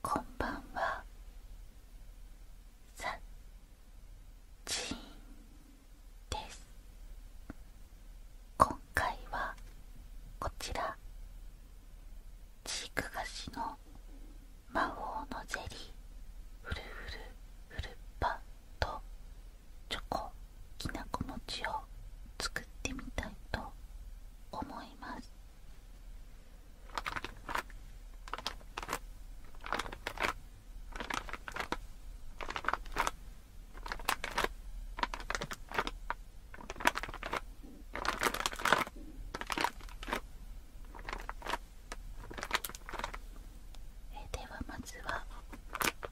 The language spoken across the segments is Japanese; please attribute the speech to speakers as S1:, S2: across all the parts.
S1: こんばんは今回はこちらチーク菓子の魔法のゼリーフルフル。フルパぱとチョコきなこ餅を作ってみたいと思いますではまずは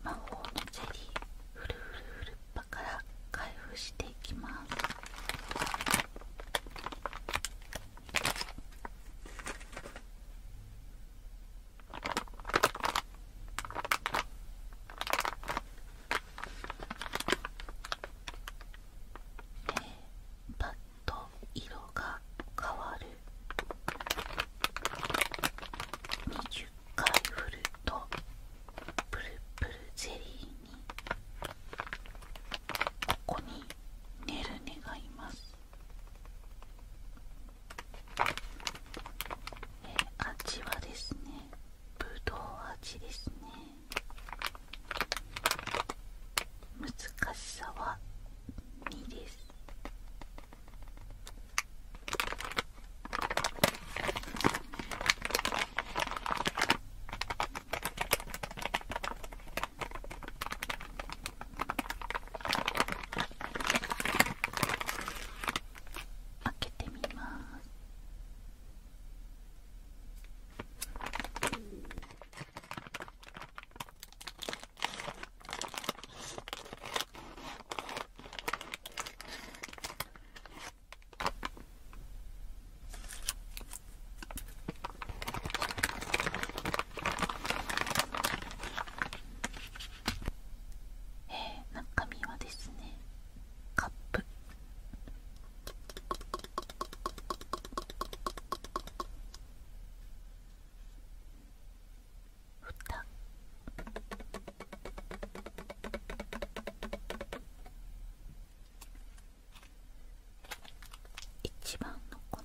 S1: 魔法のゼリーフルフルフルッパから開封していきますえー、パッと色が変わる20回振るとプルプルゼリーにここにネルネがいますえ味はですねぶどう味ですね難しさは2です開けてみます。えー、中身はですねカップふた一番の粉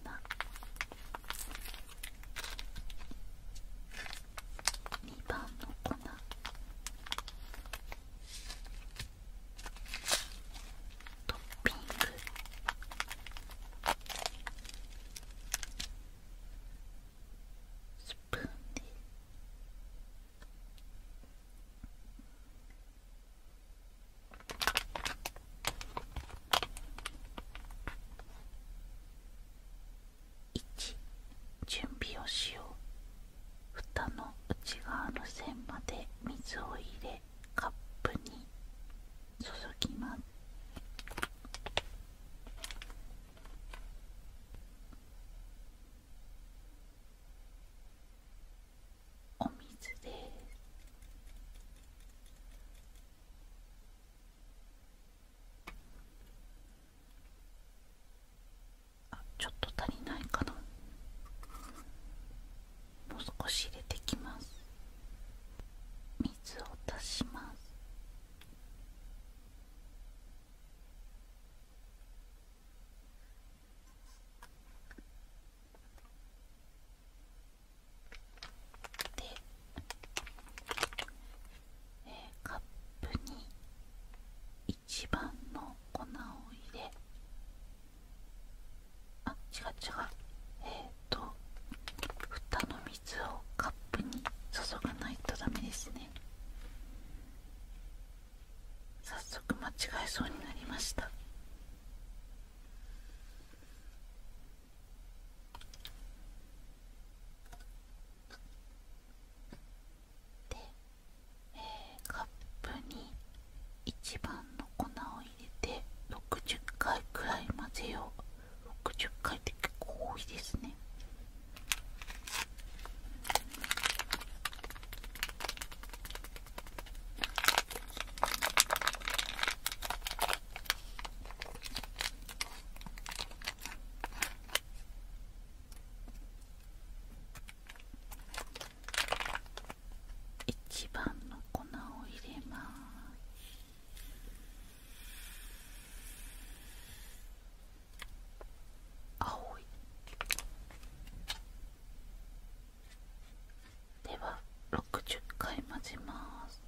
S1: 二番の粉トッピングスプーンで1準備をしよう蓋の内側の線まで水を入れカップにお水でちょっと足りないかなもう少し入れてきます水を足しますで、えー、カップに一番の粉を入れあ違う違うええ。と蓋の水をカップに注がないとダメですね早速間違えそうになりましたで、カップに一番の粉を入れて60回くらい混ぜよう60回って結構多いですね一番の粉を入れます青いでは60回混ぜます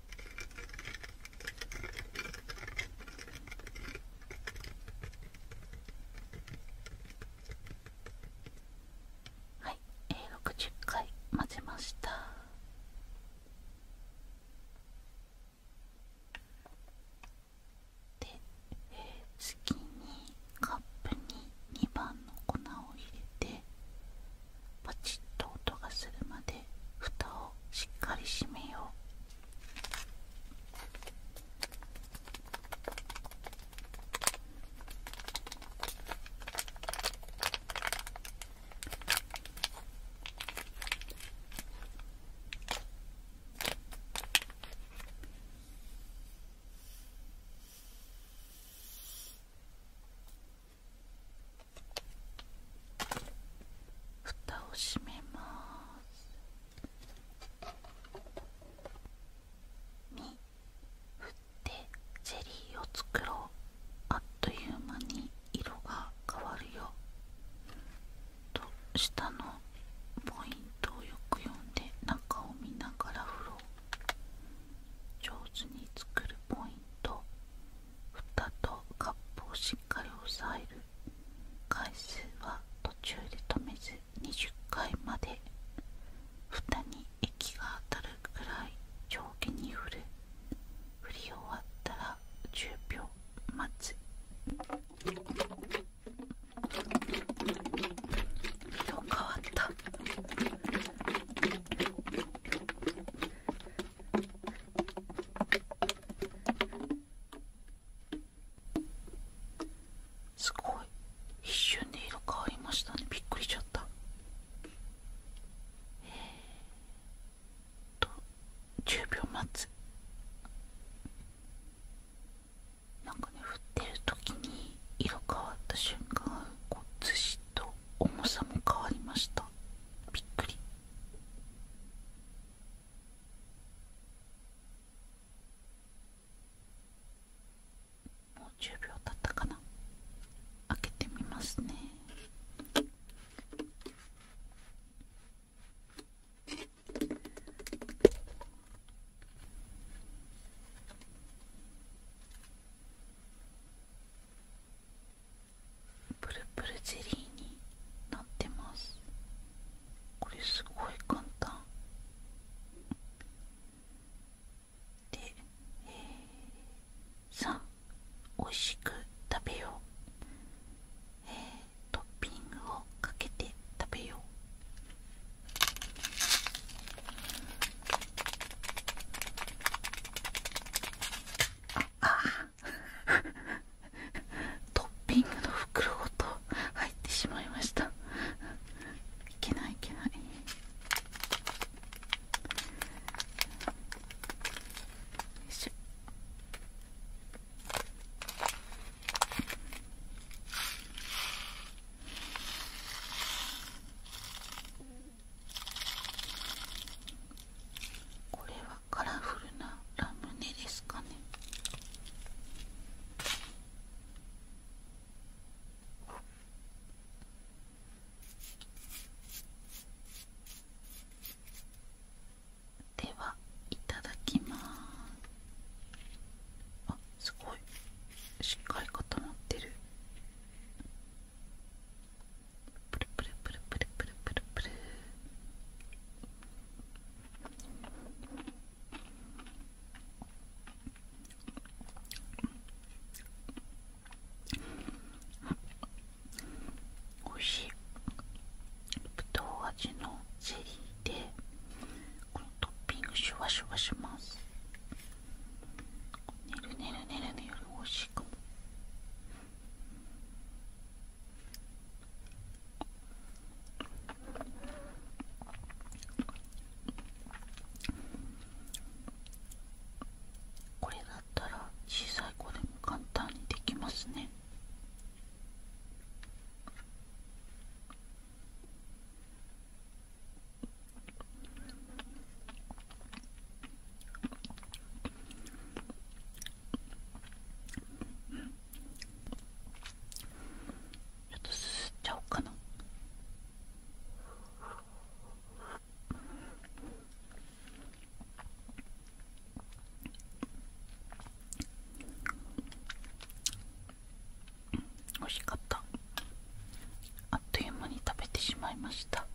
S1: はい、えー、60回混ぜましたで、え次にカップに2番の粉を入れてパチッと音がするまで蓋をしっかり閉めよう。蓋を閉めます2ってゼリーを作ろうあっという間に色が変わるよと下のポイントをよく読んで中を見ながら振ろう上手に作るポイント蓋とカップをしっかり押さえる回数は途中で止めず20回まで蓋に液が当たるくらい上下に振る振り終わったら10秒待つ色変わったすごい一瞬で色変わりましたねびっくりしちゃったえっと10秒待つなんかね振ってる時に色変わった瞬間こうずしっと重さも変わりましたびっくりも秒経ったかな開けてみますねプルプルゼリーになってますこれすごい簡単で、えー、さあおいしく食べよう、えー、トッピングをかけて食べようああ トッピングの袋ごと入ってしまいましたいけないいけないしこれはカラフルなラムネですかねではいただきますあすごいしっかり固まってるプルプルプルプルプルプルプルおいしいぶどう味のゼリーでこのトッピングシュワシュワしますねるねるねるねよりおいしいかもこれがたら小さい子でも簡単にできますねちょっとすすっちゃおうかな。ん。美味しかったあっという間に食べてしまいました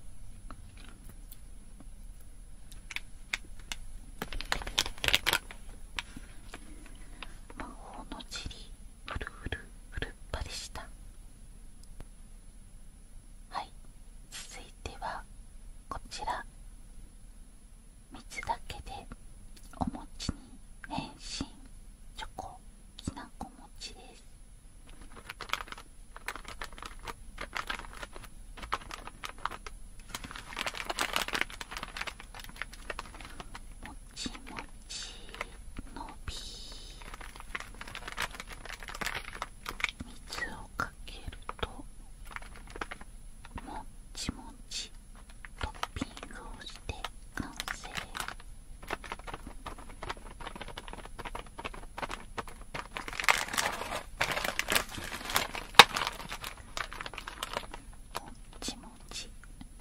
S1: 魔法のチリふるふるふるっぱでしたはい続いてはこちら水だけでお餅に変身チョコきなこ餅ですもちもちのび水をかけるともっちもちトッピングをして完成もっちもち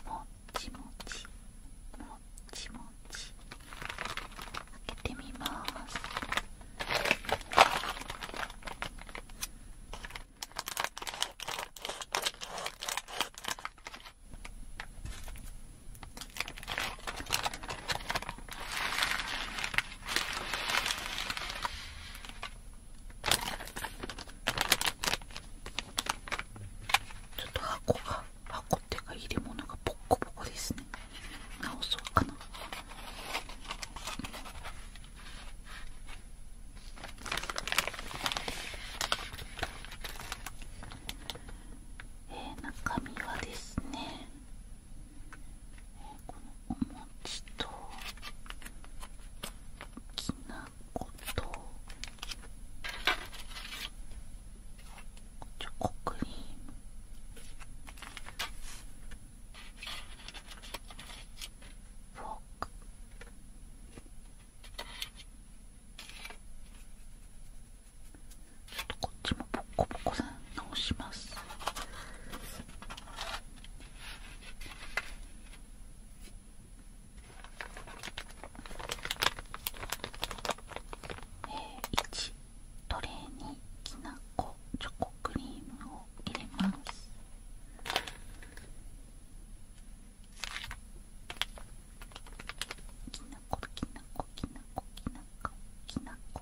S1: もっちもちむもちもちょっと箱箱てか入れ物がボコボコですね直そうかなえー、中身はですね、えー、このお餅ときな粉とコクリフォークちょっとこっちもポッコポコさん直しますえ1トレーにきなこチョコクリームを入れますきなこきなこきなこきなこきなこ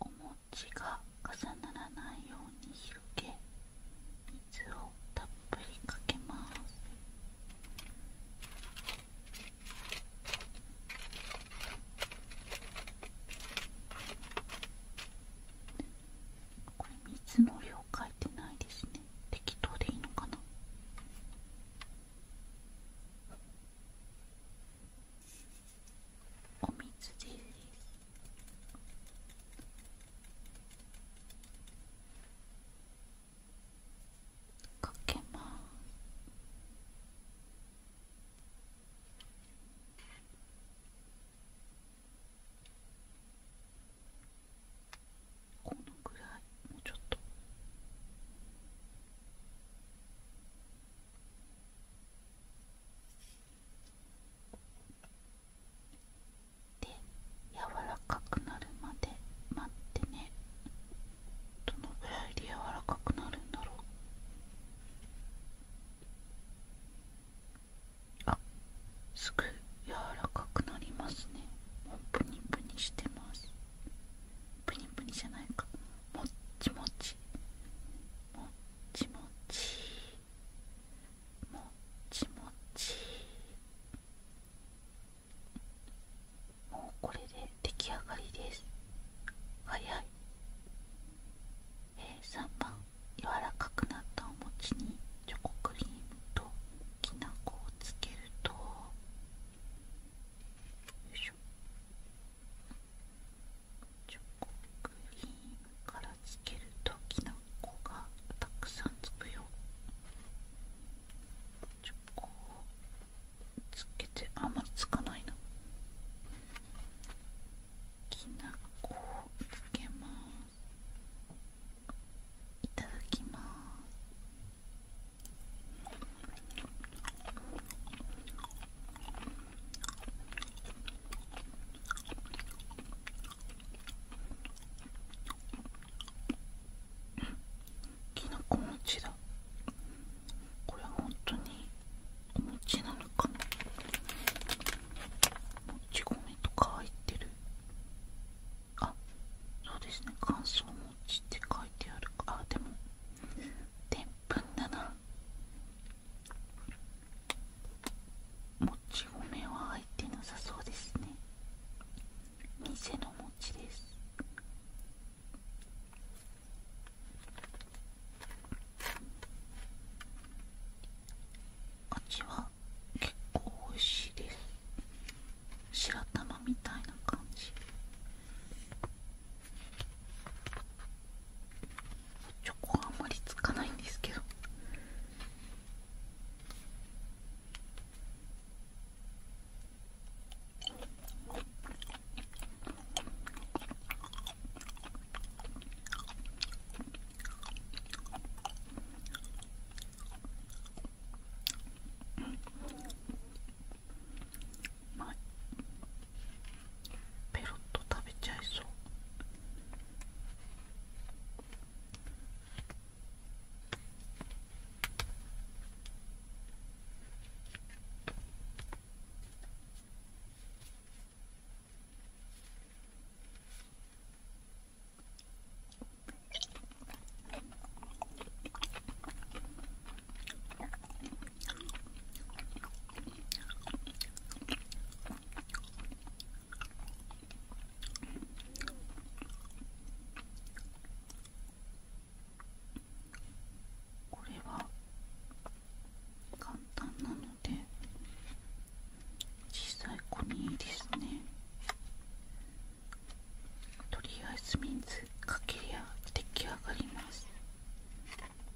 S1: お餅が重ならないように広水をたっぷりかけます水の量書いてないですね適当でいいのかなお水ですかけますこのぐらいもうちょっと。で柔らかくなるまで待ってねどのぐらいで柔らかくなるんだろうあすぐ柔らかくなりますねもうプニプニしてますプニプニじゃないかもっちもちもちもちもちもちもうこれで出来上がりです早い、えー、3番柔らかくなったお餅にチョコクリームときな粉をつけるとよいしょ。チョコクリームからつけるときな粉がたくさんつくよチョコをつけてあんまつかないなきな粉をつけますいただきますきなこち。だこれは本当にお餅なのかもち米とか入ってるあそうですね乾燥餅って書いてあるかあでもでんぷんだなもち米は入ってなさそうですね店のもちですあっちは結構おいしいです白玉みたいな感じチョコはあんまりつかないんですけどペロッと食べちゃいそう。これは簡単なので小さい子にいいですねとりあえず水かけりゃ出来上がります。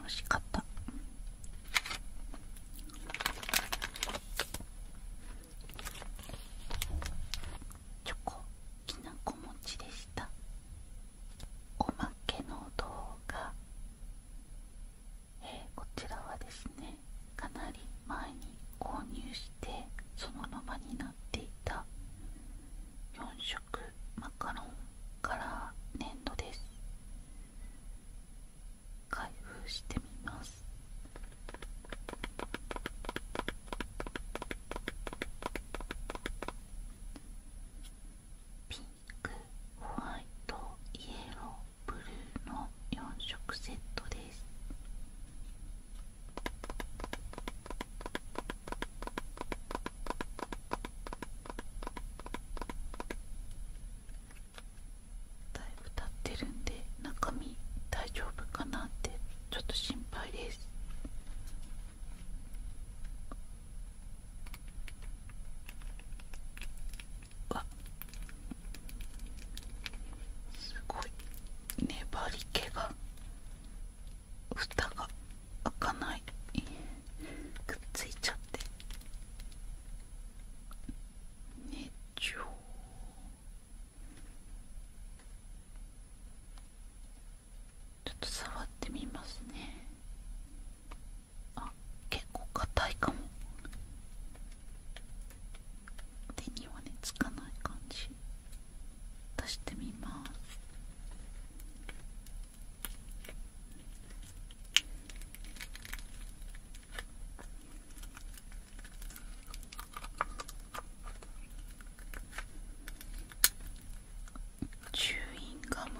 S1: 美味しかったチョコきなこもちでしたおまけの動画えー、こちらはですねかなり前に購入してそのままになっていた4色マカロンカラー粘土です開封してみますピンクホワイトイエローブルーのの色セットですだいぶ経ってるんで中身大丈夫かなってちょっと心配ですわすごい粘り気が蓋が開かないくっついちゃってねちょちょっと触ってみますねあ結構硬いかも手にはねつかない感じ出してみますチューインガム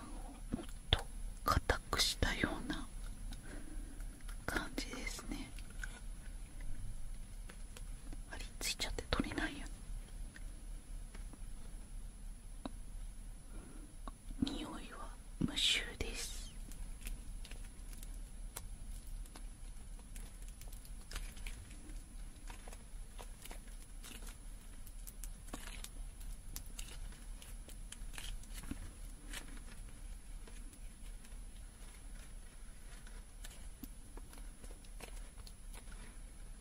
S1: をもっと固くしたような感じですねありついちゃって取れないよ匂いは無臭です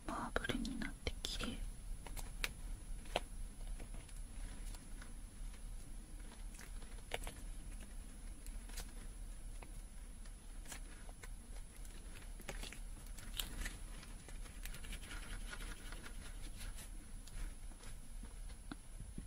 S1: マーブルになってきれい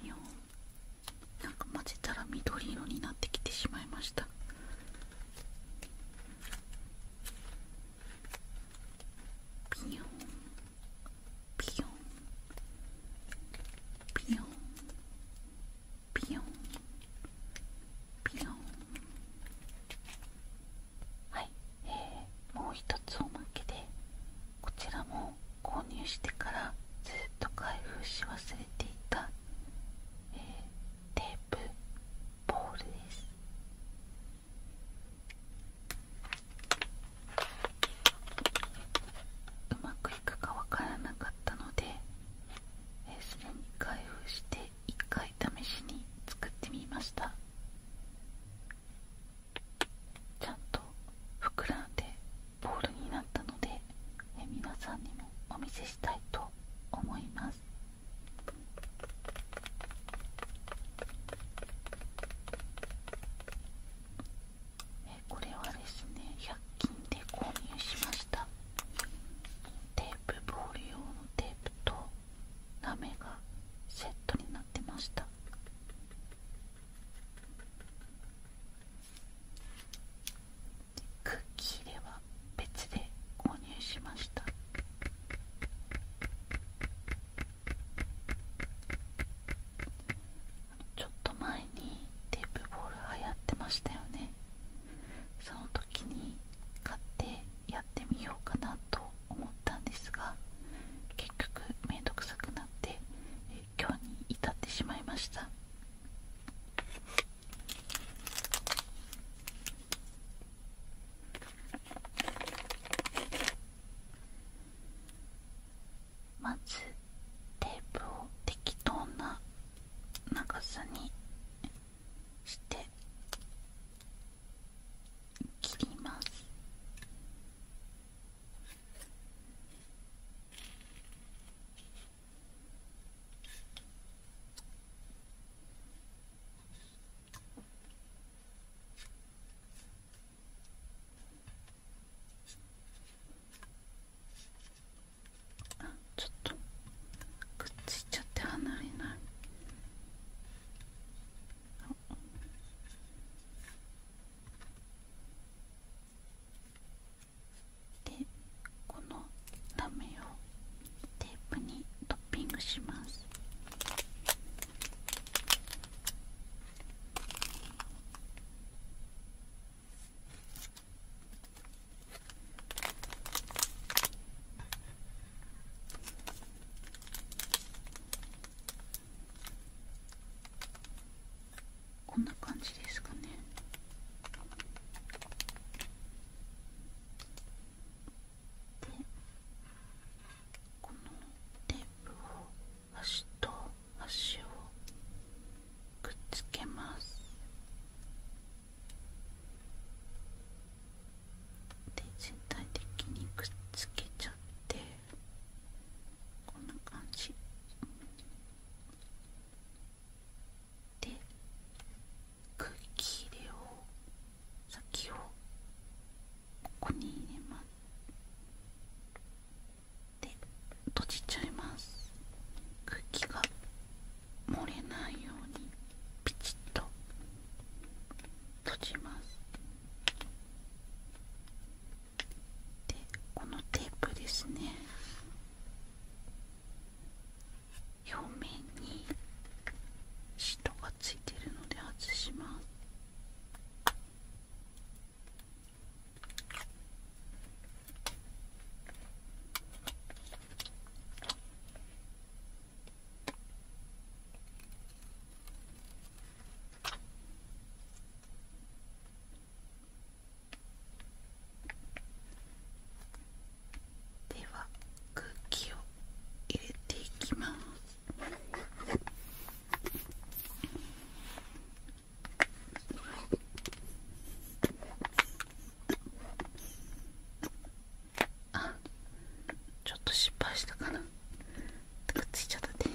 S1: ピヨンなんか混ぜたら緑色になってきてしまいましたピヨンピヨンピヨンピヨンピヨンはい、えー、もう一つおまけでこちらも購入してからずっと開封し忘れていた、テープボールですうまくいくかわからなかったので、えー、すでに開封して1回試しに作ってみましたちゃんと膨らんでボールになったのでえ皆さんにもお見せしたいと思いますえこれはですね100均で購入しましたテープボール用のテープとラメがセットになってましたクッキーでは別で購入しましたちょっと前にテープボール流行ってましたよねその時に買ってやってみようかなと思ったんですが結局めんどくさくなって今日に至ってしまいましたまずテープを適当な長さにして切りますあちょっとくっついちゃって離れないあでこのラメをテープにトッピングしますこんな感じですかねでこのテープを足と足をくっつけますで全体的にくっつけちゃってこんな感じで空気入れを先をここに入れますで閉じちゃいます空気が漏れないようにピチッと閉じますでこのテープですね表面にシトがついてるので外しますでは空気を入れていきますあちょっと失敗したかなくっついちゃった手に。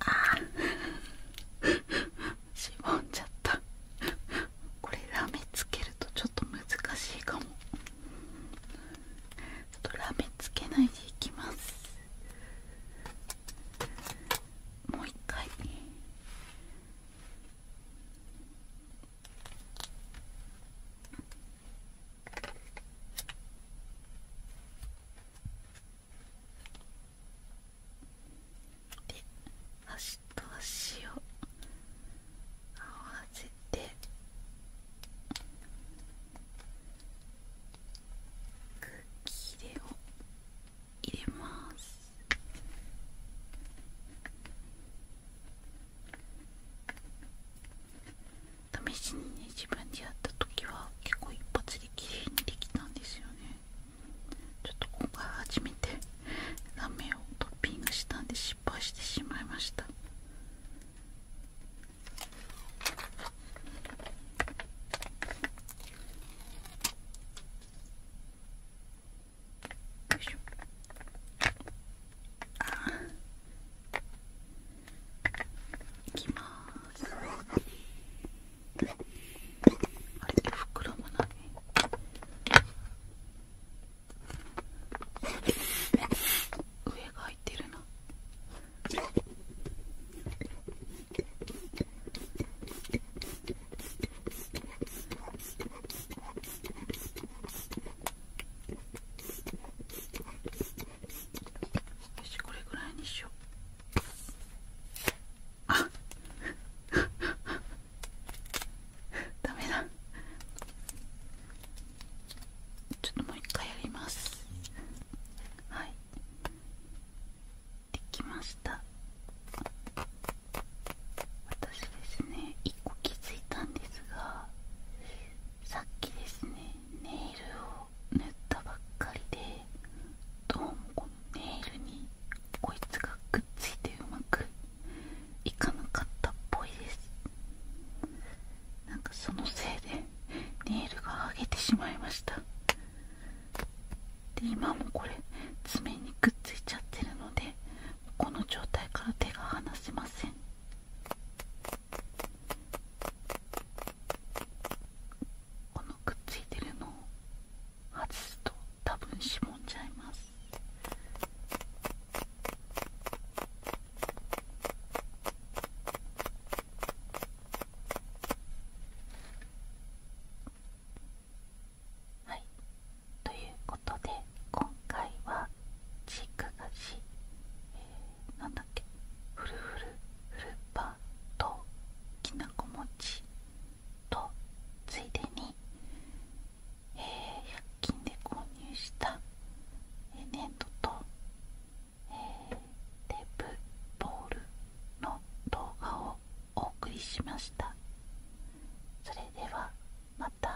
S1: あしぼんじゃったこれラメつけるとちょっと難しいかもちょっとラメつけないでいきますもう一回ね。で足と足を合わせて空気入れを入れます試しにね自分でやった時は結構一発で綺麗にできたんですよねちょっと今回初めてラメをトッピングしたんで失敗してしまいましたよいしょあいきますあれ袋もな上がいてるなしこれぐらいにしようあダメだちょっともう一回やりますはいできました私ですね一個気づいたんですがさっきですねネイルを塗ったばっかりでどうもこのネイルにこいつがくっついてうまくいかなかったっぽいですなんかそのせいでネイルが剥げてしまいましたで今もこれ爪にくっついちゃってるのでこの状態から手が離せませんこのくっついてるのを外すと多分しもんじゃいますはいということで今回は軸ーク菓子、えなんだっけふるふるふるっぱときなこ餅とついでに、え100均で購入した、えー、粘土と、えー、テープボールの動画をお送りしましたそれではまた